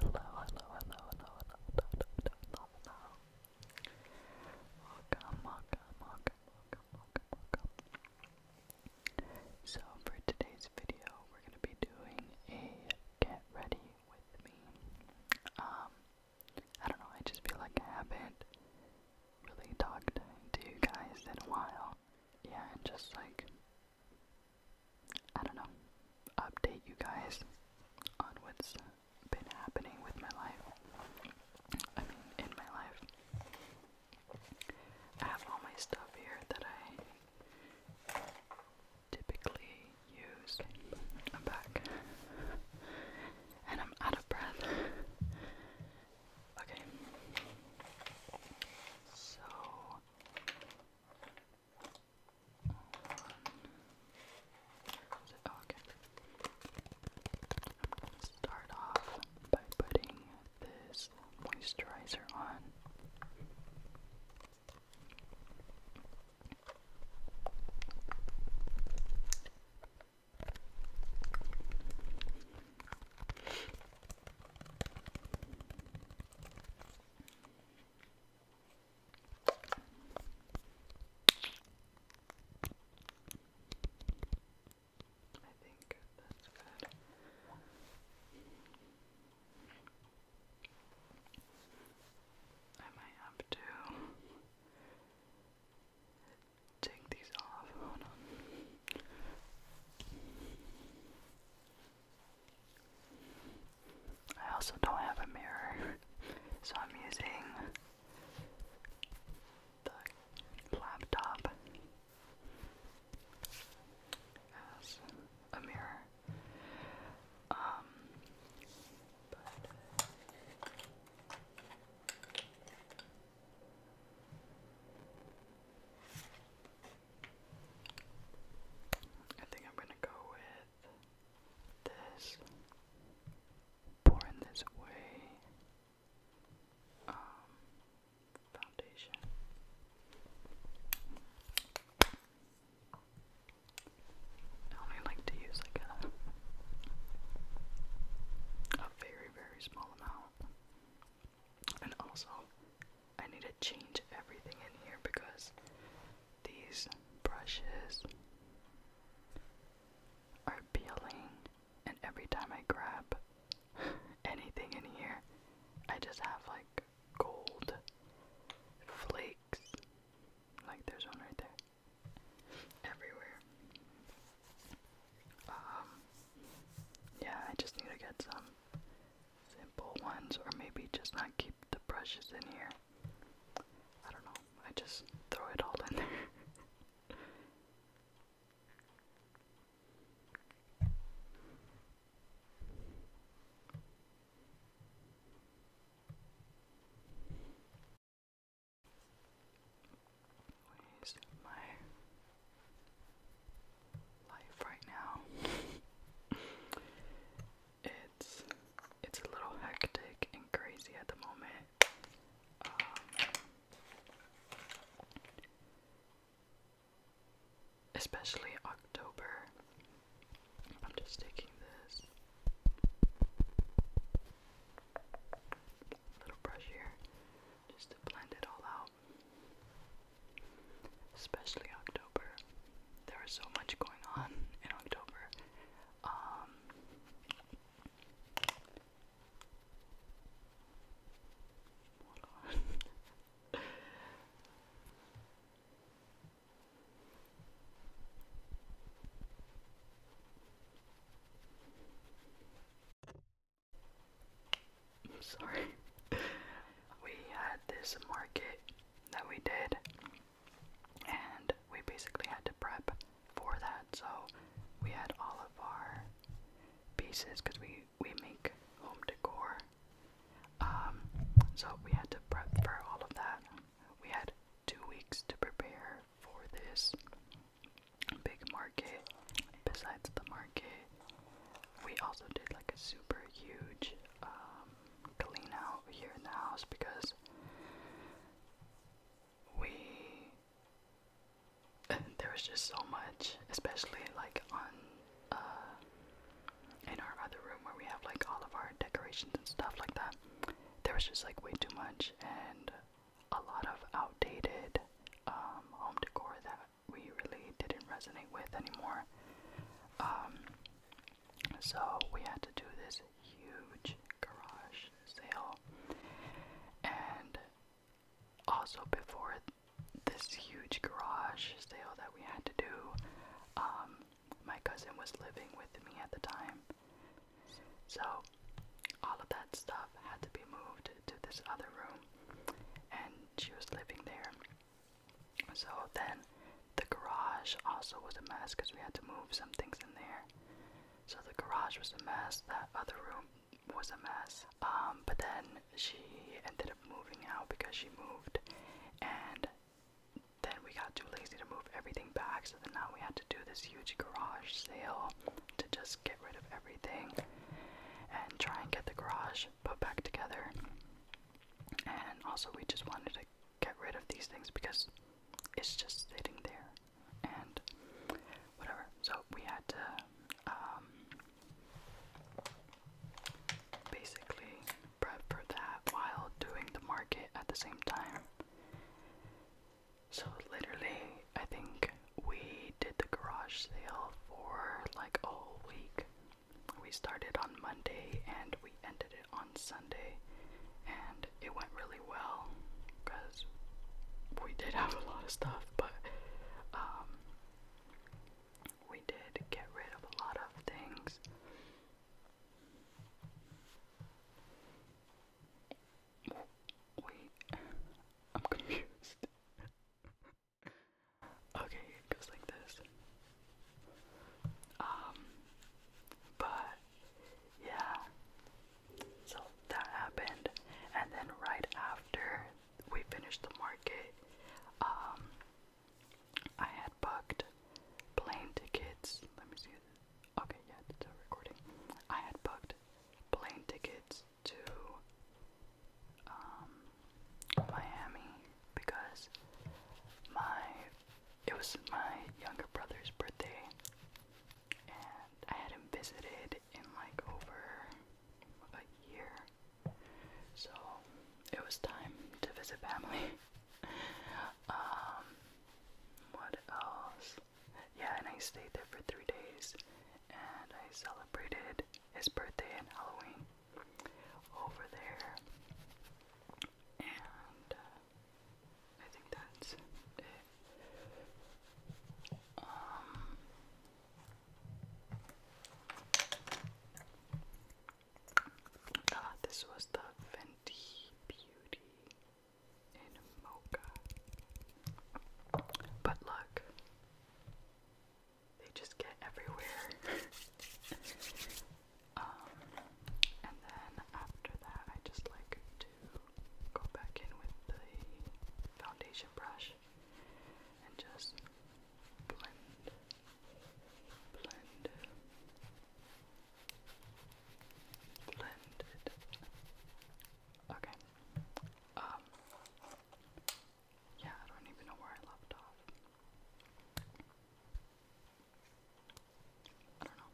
hello, hello, hello, hello, hello, hello, hello, hello. Welcome, welcome, welcome, welcome, welcome, welcome. So for today's video, we're gonna be doing a get ready with me. Um, I don't know. I just feel like I haven't really talked to you guys in a while. Yeah, and just like I don't know, update you guys on what's been happening with my life. I mean, in my life. I have all my stuff here that I typically use. I'm back. And I'm out of breath. Okay. So, is it, I'm gonna start off by putting this moisturizer on. I think that's good. I might have to take these off. Hold on. I also don't have a mirror, so I'm using the laptop as a mirror. Um, but I think I'm gonna go with this, born this way, um, foundation. I only like to use like a very very small amount, and also I need to change everything in here because these brushes are peeling, and every time I grab anything in here, I just have like gold flakes. Like there's one right there. Everywhere. Um, yeah, I just need to get some simple ones, or maybe just not keep the brushes in here. I don't know, I just throw it all in there. Where's my life right now? it's it's a little hectic and crazy at the moment. Um, especially October. I'm just taking this little brush here just blend it all out. Especially October there was so much going on in October. Um, I'm sorry. We had this market that we did and we basically had to prep for that. So we had all of our pieces because we we make home decor. Um, so we had to prep for all of that. We had two weeks to prepare for this big market. Besides the market, we also did like a super huge um, clean out here in the house because we there was just so much, especially like on uh in our other room where we have like all of our decorations and stuff like that. There was just like way too much and a lot of outdated um home decor that we really didn't resonate with anymore. Um so we had to do this huge garage sale. And also, before this huge garage sale that we had to do, um, my cousin was living with me at the time. So, all of that stuff had to be moved to this other room, and she was living there. So, then the garage also was a mess because we had to move some things in there. So the garage was a mess, that other room was a mess. Um, but then she ended up moving out because she moved and then we got too lazy to move everything back, so then now we had to do this huge garage sale to just get rid of everything and try and get the garage put back together. And also, we just wanted to get rid of these things because it's just sitting there and whatever. So we had to um, basically prep for that while doing the market at the same time. So literally, I think we did the garage sale for like a week. We started on Monday and we ended it on Sunday, and it went really well because we did have a lot of stuff, but um, we did get rid of a lot of things. Wait, I'm confused. okay, it goes like this. Um, but yeah, so that happened, and then right after we finished the market, um, I had booked plane tickets. Let me see. Okay, yeah, it's a recording. I had booked plane tickets to um, Miami because my it was my younger brother's birthday, and I hadn't visited in like over a year, so it was time to visit family. um, what else? Yeah, and I stayed there for three days, and I celebrated his birthday and Halloween over there. And uh, I think that's it. Um, ah, this was the Fenty Beauty in Mocha. But look, they just get everywhere. Um, and then after that, I just like to go back in with the foundation brush and just blend, blend, blend it. Okay. Um. Yeah, I don't even know where I left off. I don't know.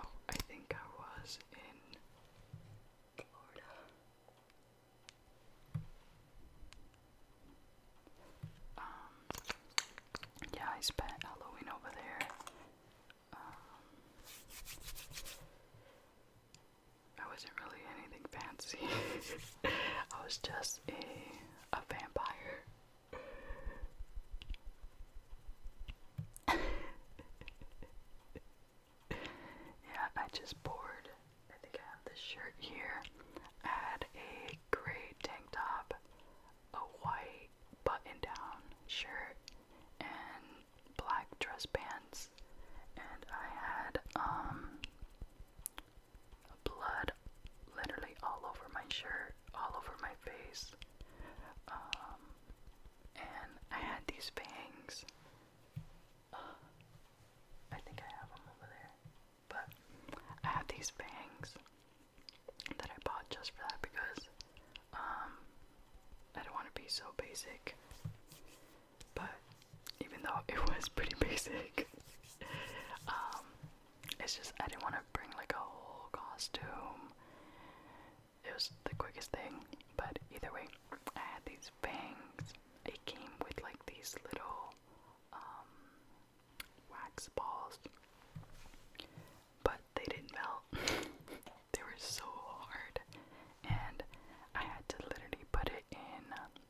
Oh, I think I was in Florida. Um, yeah, I spent Halloween over there. Um, I wasn't really anything fancy. I was just a vampire yeah, I just poured. I think I have this shirt here. I had a gray tank top, a white button down shirt, and black dress pants. And I had, um, blood literally all over my shirt all over my face. Um, and I had these bangs. I think I have them over there. But I had these bangs that I bought just for that because um, I don't want to be so basic. But even though it was pretty basic, um, it's just I didn't want to bring like a whole costume. It was the quickest thing, but either way, I had these bangs. It came with like these little um, wax balls, but they didn't melt. they were so hard, and I had to literally put it in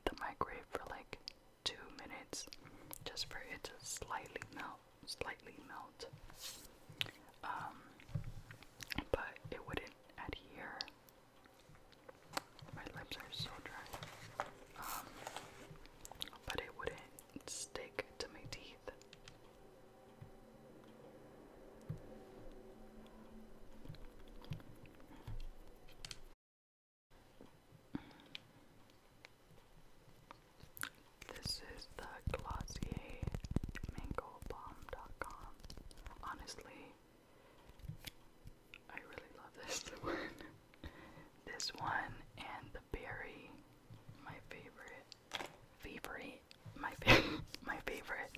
the microwave for like two minutes just for it to slightly melt slightly melt, um, but it wouldn't adhere. My lips are so dry, um, but it wouldn't stick to my teeth. This is the Glossier Mango Bomb.com. Honestly, I really love this one. this one and the berry, my favorite, favorite, my favorite, my favorite.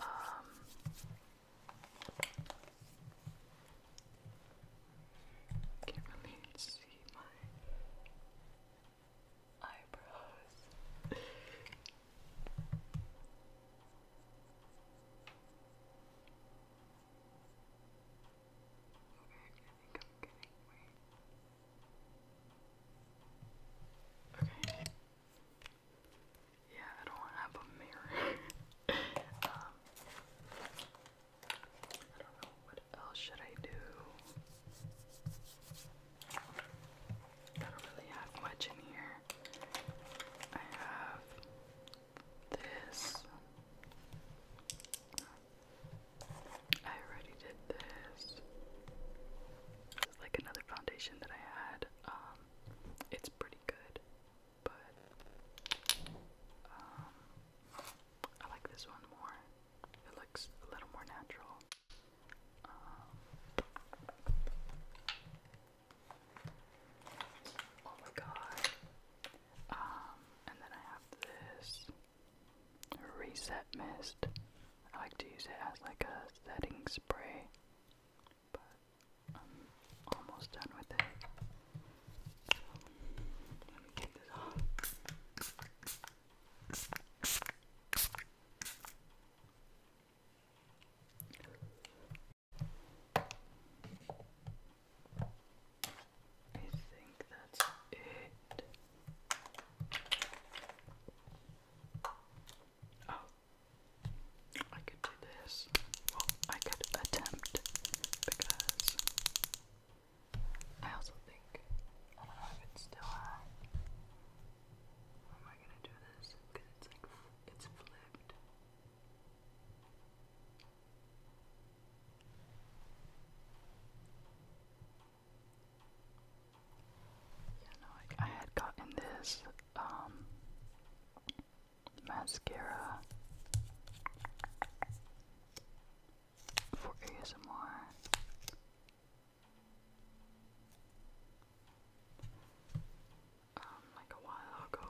Um, can't really see my eyebrows. Alright, I think I'm getting weight. Okay. Yeah, I don't have a mirror. um, I don't know what else should I do? I don't really have much in here. I have this. I already did this. This like another foundation that I had. Um, it's pretty good, but um, I like this one more. It looks a little more natural oh my god. Um, and then I have this reset mist. I like to use it as like a setting spray, but I'm almost done with it. let me get this off. I think that's it. Oh, I could do this. Well, I could attempt because I also think I don't know if it's still on. How am I gonna do this? Because it's like it's flipped. Yeah, no, I had gotten this um mascara for ASMR um, like a while ago.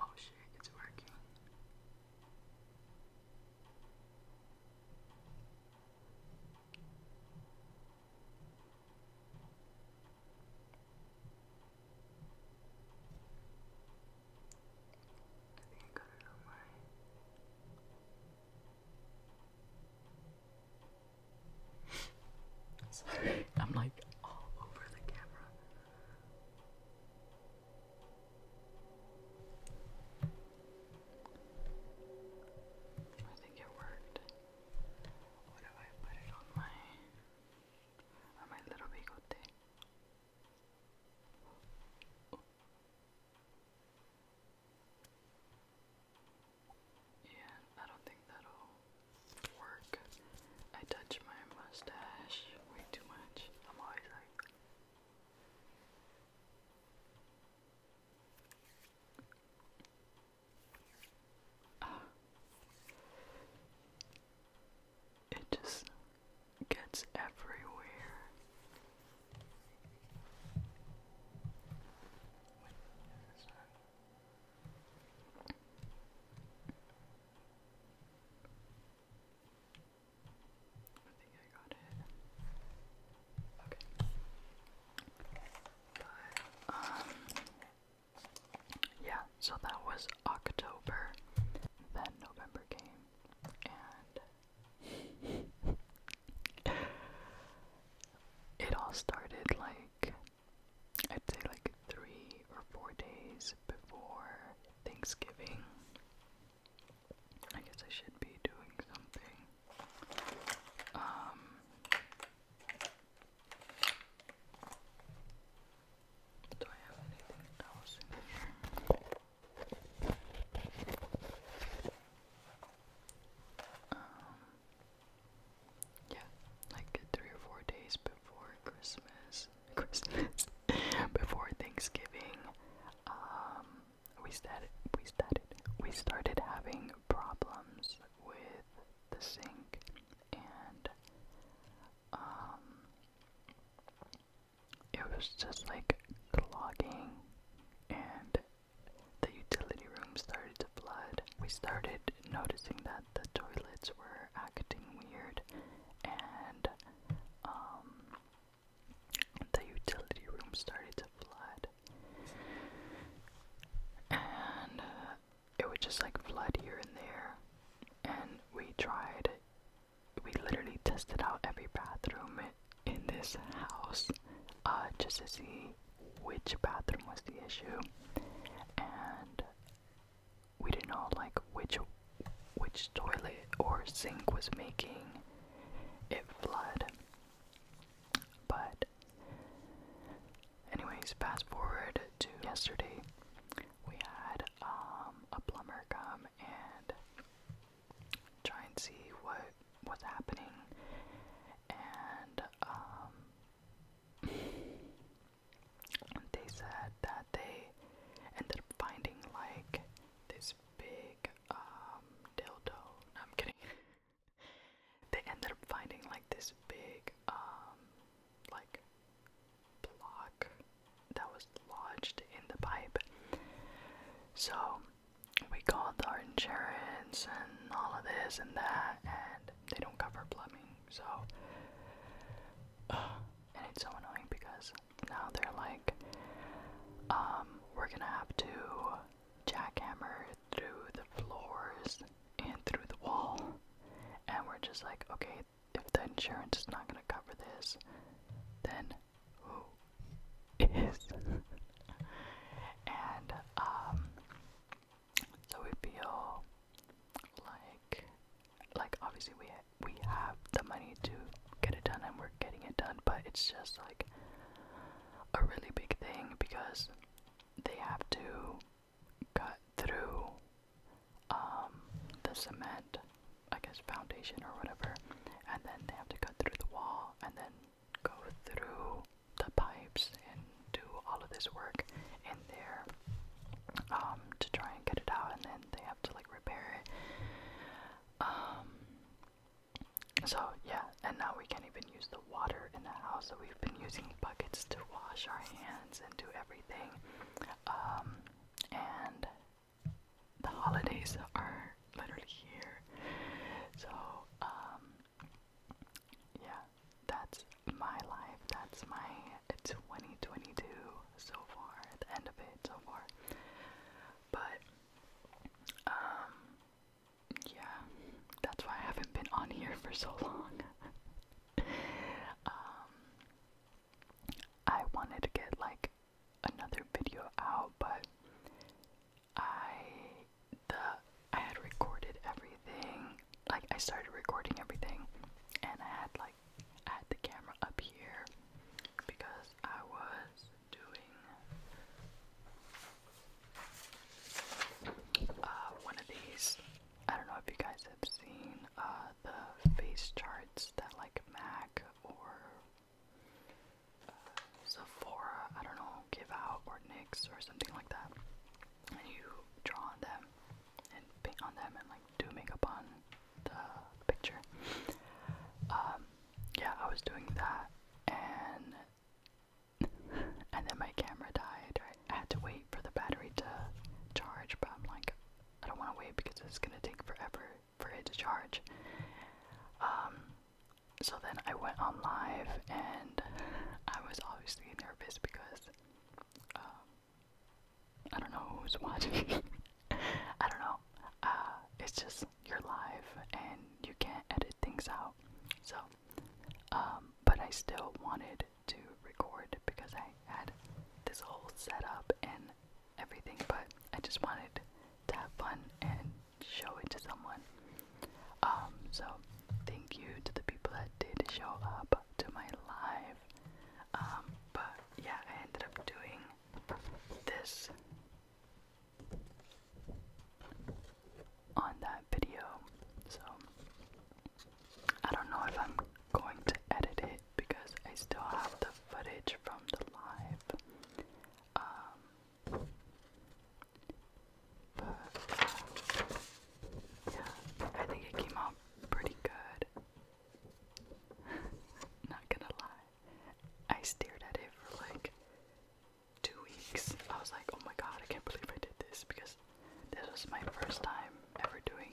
Oh shit, it's working. I think I got it on my Sorry, I'm like all over the camera. I think it worked. What if I put it on my on my little bigote? Yeah, I don't think that'll work. I touch my mustache way too much. I'm always like. Ah. It just gets everywhere. I think I got it. Okay. But, um, yeah, so that was October. Then November came, and it all started like I'd say like three or four days before Thanksgiving. I guess I should be doing something. Um, do I have anything else in here? Um, yeah, like three or four days before Christmas Christmas, before Thanksgiving, um, we started, we started, we started having problems with the sink, and um, it was just like clogging, and the utility room started to flood. We started noticing that the toilets were acting weird and um, the utility room started to flood. And uh, it would just like flood here and there. And we tried, we literally tested out every bathroom in this house uh, just to see which bathroom was the issue. And we didn't know like which which toilet or sink was making it flood. But anyways, fast forward to yesterday. We had um, a plumber come and try and see what was happening, and um, they said that they ended up finding like this big um, dildo. I'm kidding. they ended up finding like this big um, like block that was lodged in the pipe. So we called our insurance and all of this and that, and they don't cover plumbing. So and it's so annoying because now they're like, um, we're gonna have to jackhammer through the floors and through the wall. And we're just like, okay, if the insurance is not gonna cover this, then who is? and, um, so we feel like like obviously we ha we have the money to get it done and we're getting it done, but it's just like a really big thing because they have to cut through um, the cement, I guess foundation or whatever, and then they have to cut through the wall and then go through the pipes and do all of this work in there um, to try and get it out, and then they have to like repair it. Um, so yeah, and now we can't even use the water in the house. So we've been using buckets to wash our hands and do everything. Um, and the holidays are literally here. So um, yeah, that's my life. That's my 2022 so far, at the end of it so far. But, um, yeah, that's why I haven't been on here for so long. Um, I wanted to get like another video out, but I the I had recorded everything. Like I started recording everything, and I had like. I had the camera up here because I was doing uh, one of these. I don't know if you guys have seen uh, the face charts that like MAC or uh, Sephora, I don't know, give out or NYX or something like that. And you draw on them and paint on them and like do makeup on the picture. Um, yeah, I was doing that, and and then my camera died. I had to wait for the battery to charge, but I'm like, I don't want to wait because it's gonna take forever for it to charge. Um, so then I went on live, and I was obviously nervous because um, I don't know who's watching. I don't know. Uh, it's just your are live and you can't edit things out. So, um, but I still wanted to record because I had this whole set up and everything, but I just wanted to have fun and show it to someone. Um, so thank you to the people that did show up to my live. Um, but yeah, I ended up doing this on that video. So I don't know if I'm going to edit it because I still have the footage from the live. Um, uh, yeah, I think it came out pretty good. Not gonna lie. I stared at it for like two weeks. I was like, oh my god, I can't believe I did this because this was my first time ever doing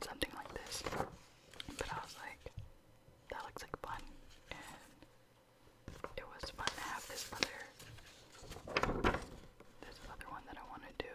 something like this. But I was like, that looks like fun. And it was fun to have this other this other one that I wanna do